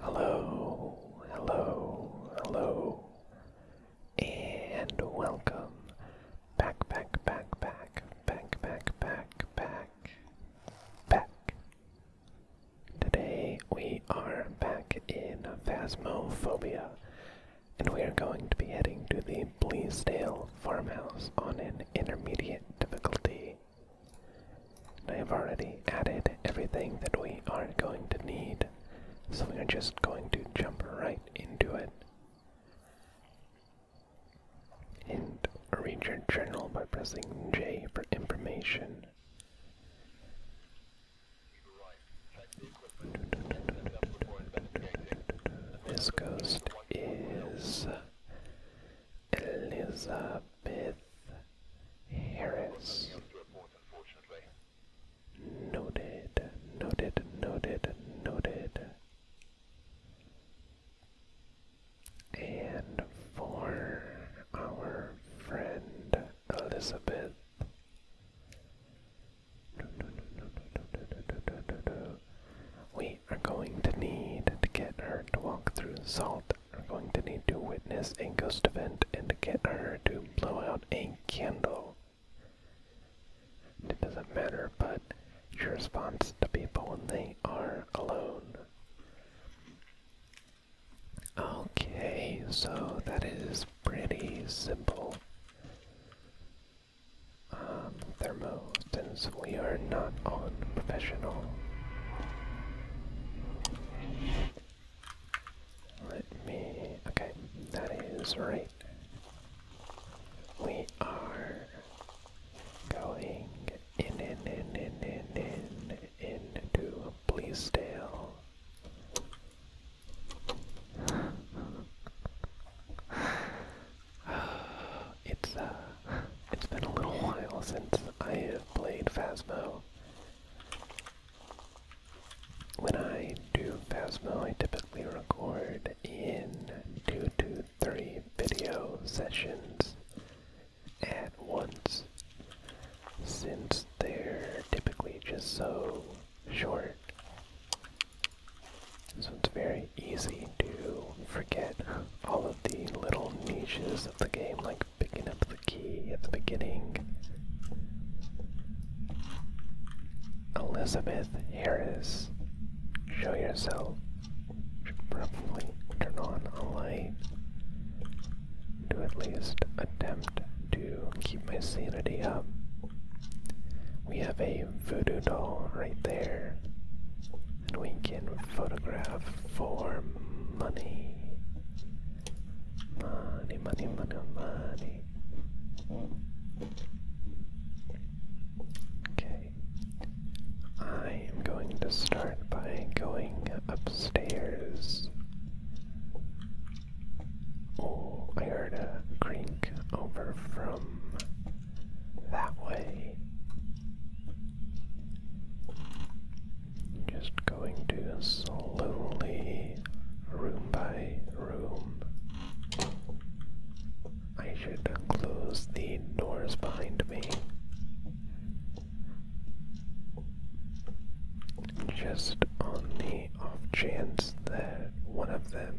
Hello, hello, hello, and welcome back, back, back, back, back, back, back, back, back. Today we are back in Phasmophobia, and we are going to be heading to the Bleasdale farmhouse on an intermediate difficulty. I have already added everything that we are going to need, so we are just going to jump right into it. And read your journal by pressing J for information. This goes is Elizabeth Harris. Noted, noted, noted, noted. And for our friend Elizabeth, we are going to need to get her to walk through salt. We're going to need to witness a ghost event and to get her to blow out a candle. It doesn't matter, but it's your response to people when they are alone. Okay, so that is pretty simple um, thermo since we are not on professional. Let me. Okay, that is right. We are going in, in, in, in, in, in, into Bleasdale. it's uh, it's been a little while since I have played Phasmo. When I do Phasmo, I typically record in two to three video sessions at once, since they're typically just so short. So it's very easy to forget all of the little niches of the game, like picking up the key at the beginning. Elizabeth Harris, show yourself. Should probably turn on a light to at least attempt to keep my sanity up. We have a voodoo doll right there. And we can photograph for money. Money, money, money, money. Okay. I am going to start by going upstairs. Oh, I heard a creak over from that way. Just going to slowly, room by room. I should close the doors behind me. Just on the off chance that one of them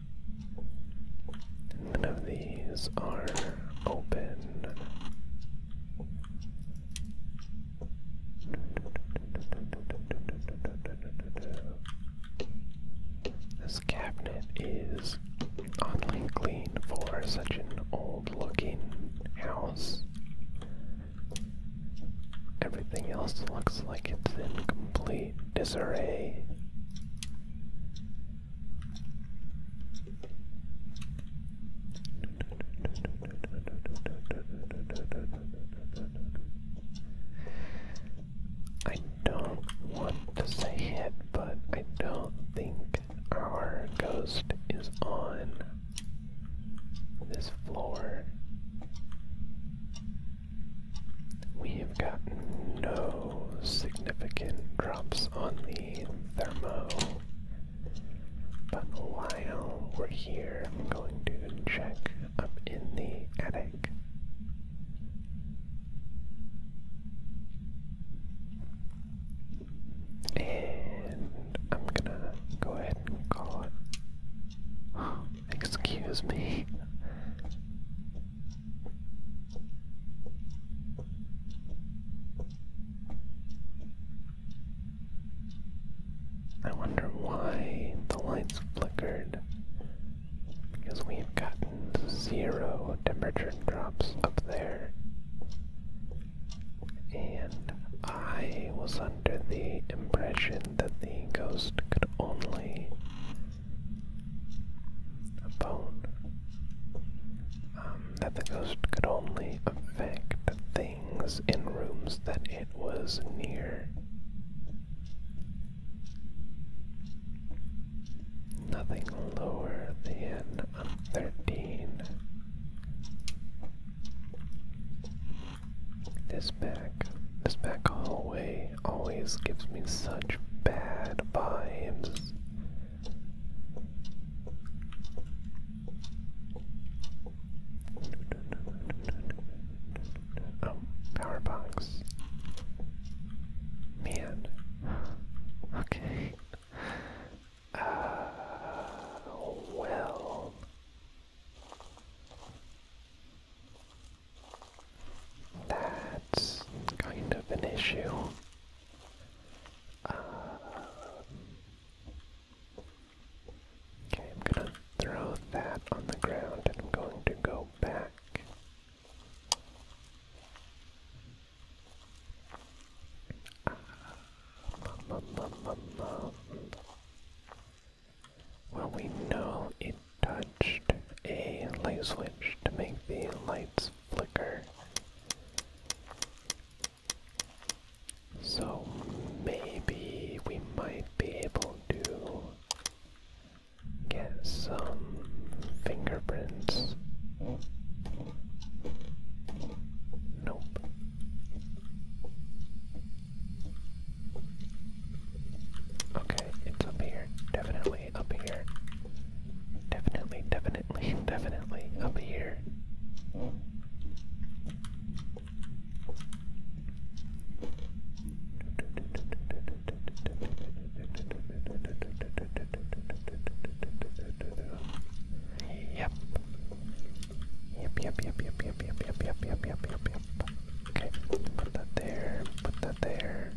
None of these are open. This cabinet is oddly clean for such an old looking house. Everything else looks like it's incomplete disarray, I don't want to say it, but I don't think our ghost is on this floor. We have gotten no significant drops on the thermo. But while we're here, I'm going to check up in the attic. And I'm gonna go ahead and call it. Excuse me. I wonder why the lights flickered. Because we've gotten zero temperature drops up there. And I was under the impression that the ghost could only a um, that the ghost could only affect things in rooms that it was near. Nothing lower than thirteen. This back, this back hallway always gives me such bad vibes. Oh, um, power box. Man. Okay. Uh, well. That's kind of an issue. Uh, okay, I'm gonna throw that on the ground and I'm going to go back. Ah, well, we know it touched a light switch to make the lights flicker. So maybe we might be able to get some fingerprints. Nope. Okay, it's up here. Definitely up here. Definitely, definitely, definitely up here. Yep. Yep, yep, yep, yep, yep, yep, yep, yep, yep, Okay, put that there, put that there.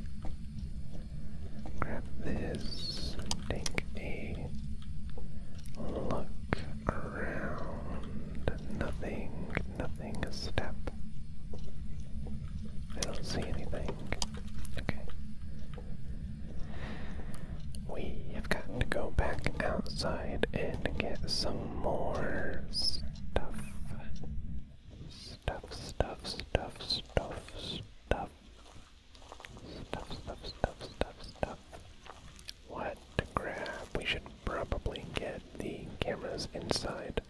Grab this, take a look around. Nothing, nothing, step. I don't see anything. Okay. We have got to go back outside and get some more stuff, stuff, stuff, stuff, stuff, stuff, stuff, stuff, stuff, stuff, stuff. What to grab? We should probably get the cameras inside.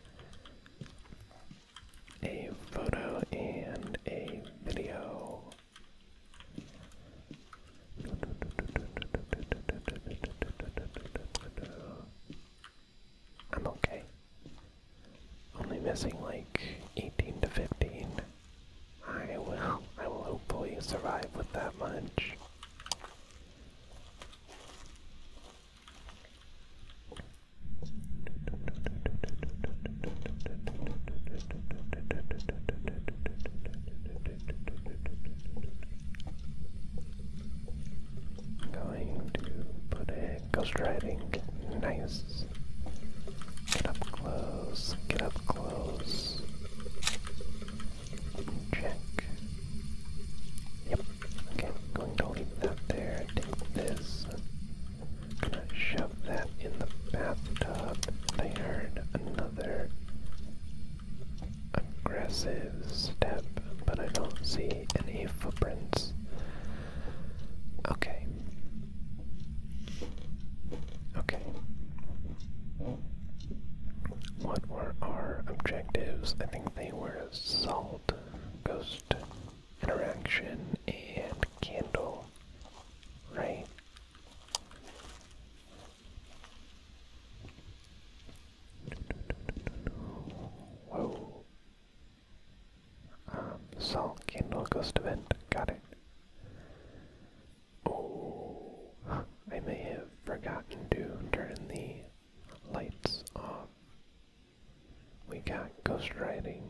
A photo and a video. I'm okay. Only missing like 18 to 15. I will, I will hopefully survive with that much. I'm Going to put a ghost riding. Nice. Get up close. Get up close. Check. Yep. Okay, going to leave that there. Take this. gonna shove that in the bathtub. I heard another aggressive step, but I don't see any footprints. Okay. Okay. What were our objectives? I think they were salt, ghost interaction, and candle, right? Whoa. Um, salt candle ghost event. Got it. Oh, I may have forgotten to turn the lights off. We got ghost riding.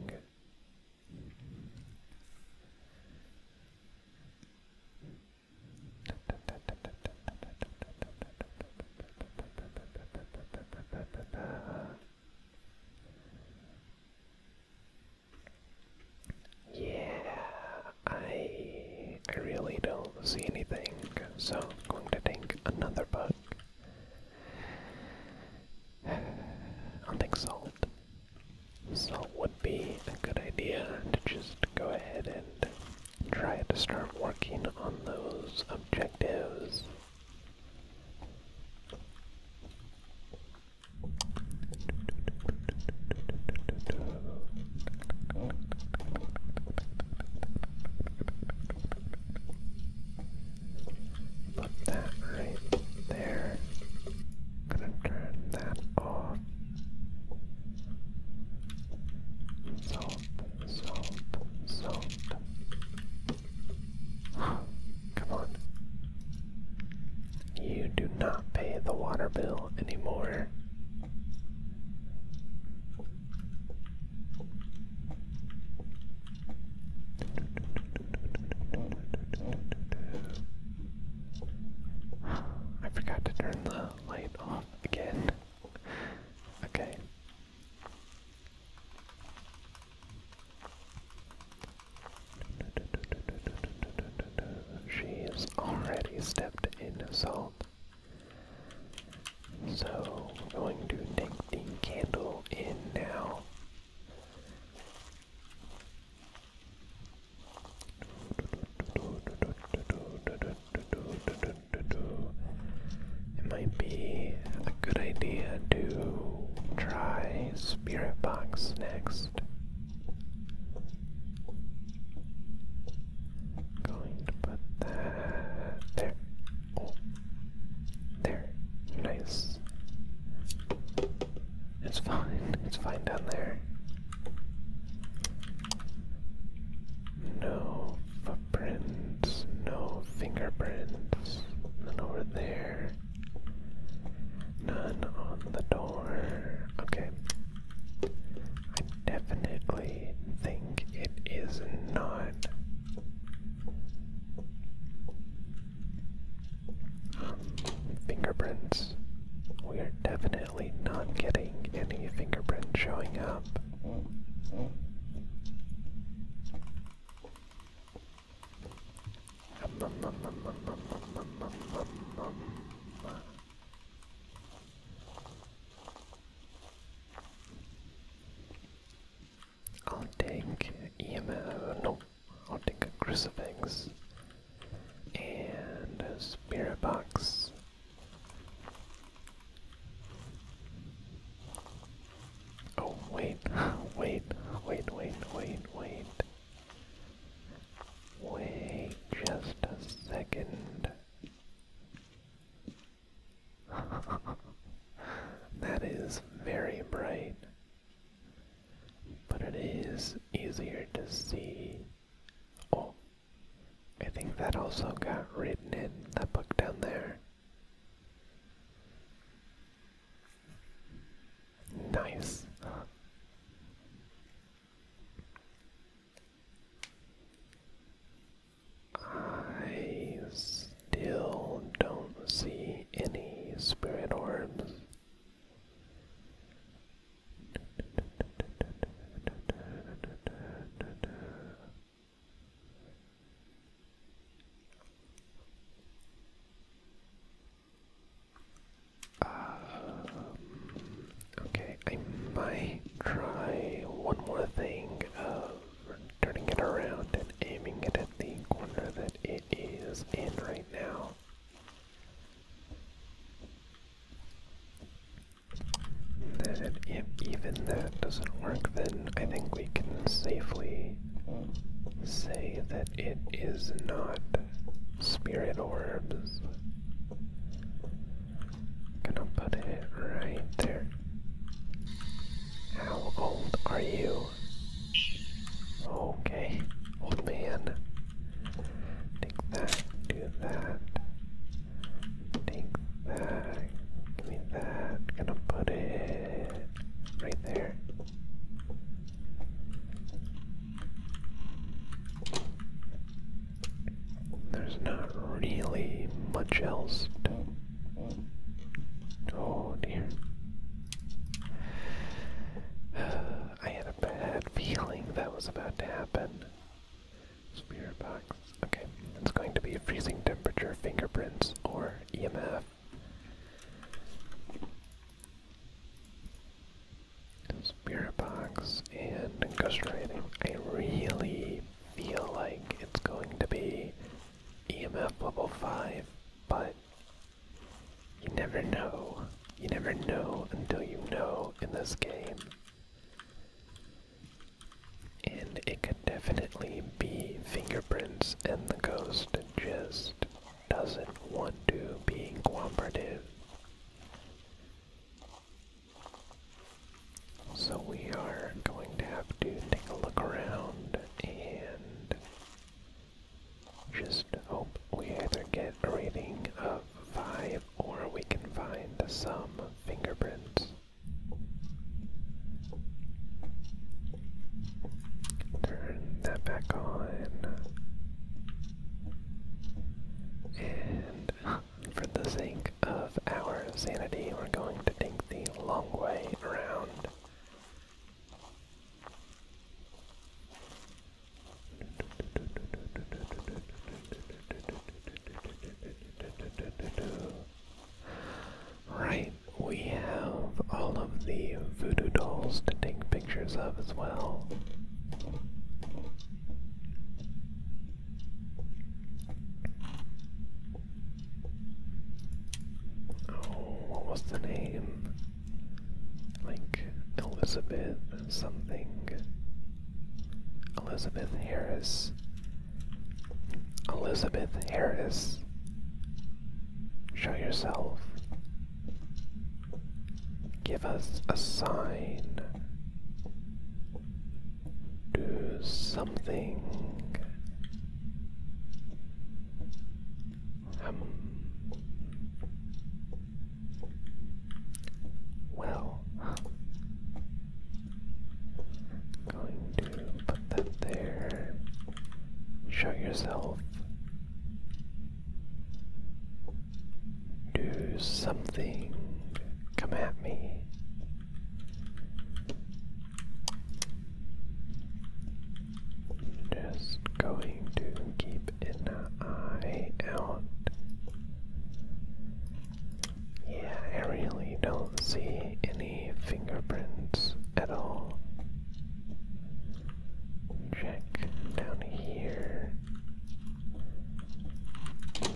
Yeah, I I really don't see anything, so I'm going to take another bug. I think salt. Salt would be a good idea to just go ahead and try to start working on those objectives. Put that right there. Gonna turn that off. So salt, salt, salt. Come on. You do not pay the water bill anymore. I forgot to turn the light off again. Okay. She's already stepped in salt. So we're going to take the candle in now. It might be a good idea to try Spirit Box next. Going to put that there. Oh. There. Nice. It's fine. It's fine down there. No footprints, no fingerprints, none over there, none on the door. Okay. I definitely think it is not um, fingerprints. We are definitely definitely not getting any fingerprint showing up. I'll take EMO, no, I'll take a crucifix and a spirit box Oh, wait, wait, wait, wait, wait, wait. Wait just a second. that is very bright, but it is easier to see. Oh, I think that also got written in that book down there. Nice. I still don't see any spirit orbs. Um, okay, I might try one more thing of turning it around and aiming it at the corner that it is in right now that if even that doesn't work, then I think we can safely say that it is not spirit orbs. Gonna put it right there. How old are you? Okay, old man. Take that, do that. Take that, give me that. Gonna put it right there. There's not really much else to. Oh dear. I had a bad feeling that was about to happen. Spirit box. Okay, it's going to be freezing temperature, fingerprints, or EMF. Spirit box and ghost I really feel like it's going to be EMF level 5, but you never know. You never know until you know in this game. And it could definitely be fingerprints, and the ghost just doesn't want to be cooperative. So we are going to have to take a look around and just hope we either get a rating of 5 or we can find some fingerprints. Turn that back on. And for the sake of our sanity, we're going to take the long way around. Right, we have all of the voodoo dolls to take pictures of as well. Oh, what was the name? Like Elizabeth something. Elizabeth Harris. Elizabeth Harris. Show yourself. Give us a sign. Do something. Um, well, going to put that there. Show yourself. Do something. Come at me. Just going to keep an eye out. Yeah, I really don't see any fingerprints at all. Check down here.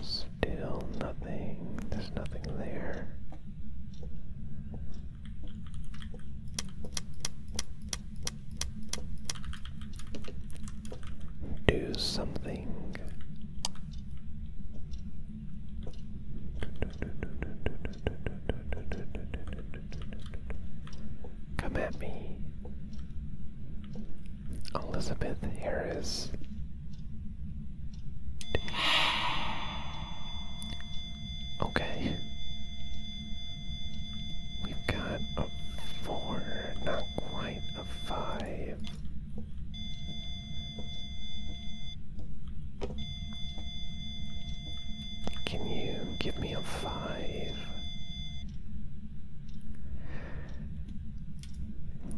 Still nothing. There's nothing there do something. Come at me. Elizabeth Harris. Okay. We've got a four, not quite a five. Can you give me a five?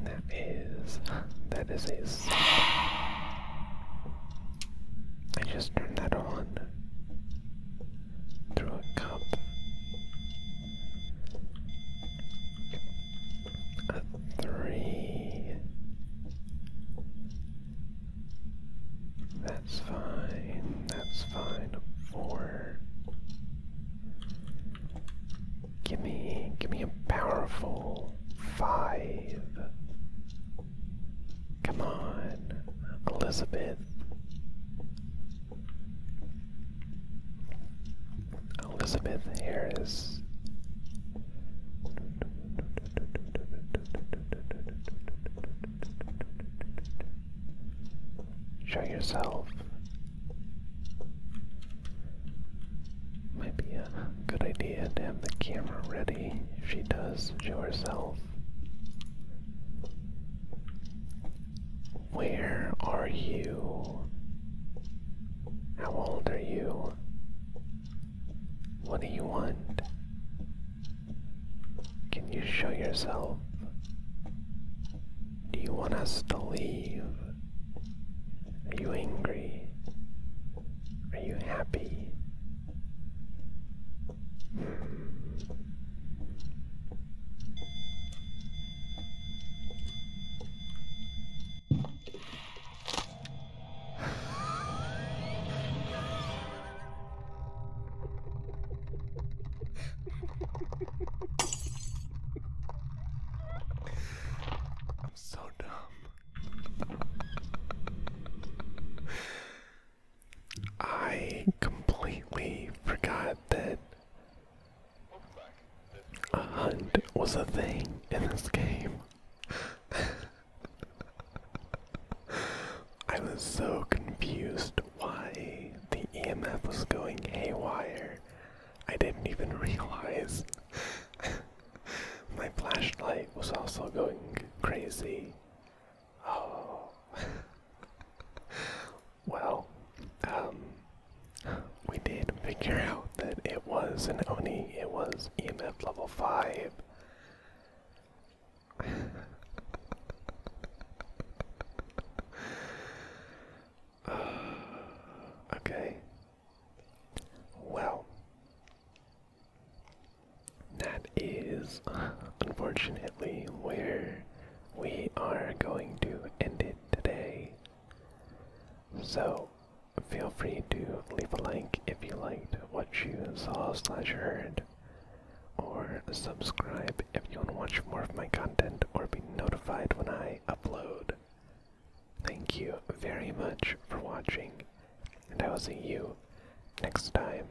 That is, that is a seven. just turned that on through a cup. A three. That's fine. That's fine. A four. Give me, give me a powerful five. Come on, Elizabeth. Elizabeth here is. Show yourself. Might be a good idea to have the camera ready if she does show herself. Where are you? How old are you? What do you want? Can you show yourself? Do you want us to leave? Are you angry? Are you happy? Hmm. I'm so dumb. I completely forgot that a hunt was a thing in this game. I was so confused why the EMF was going haywire. I didn't even realize. My flashlight was also going crazy. Oh. well, um, we did figure out that it was an Oni, it was EMF level 5. okay. Well, that is unfortunately where we are going to end it today. So feel free to leave a like if you liked what you saw slash heard, or subscribe if you want to watch more of my content or be notified when I upload. Thank you very much for watching, and I will see you next time.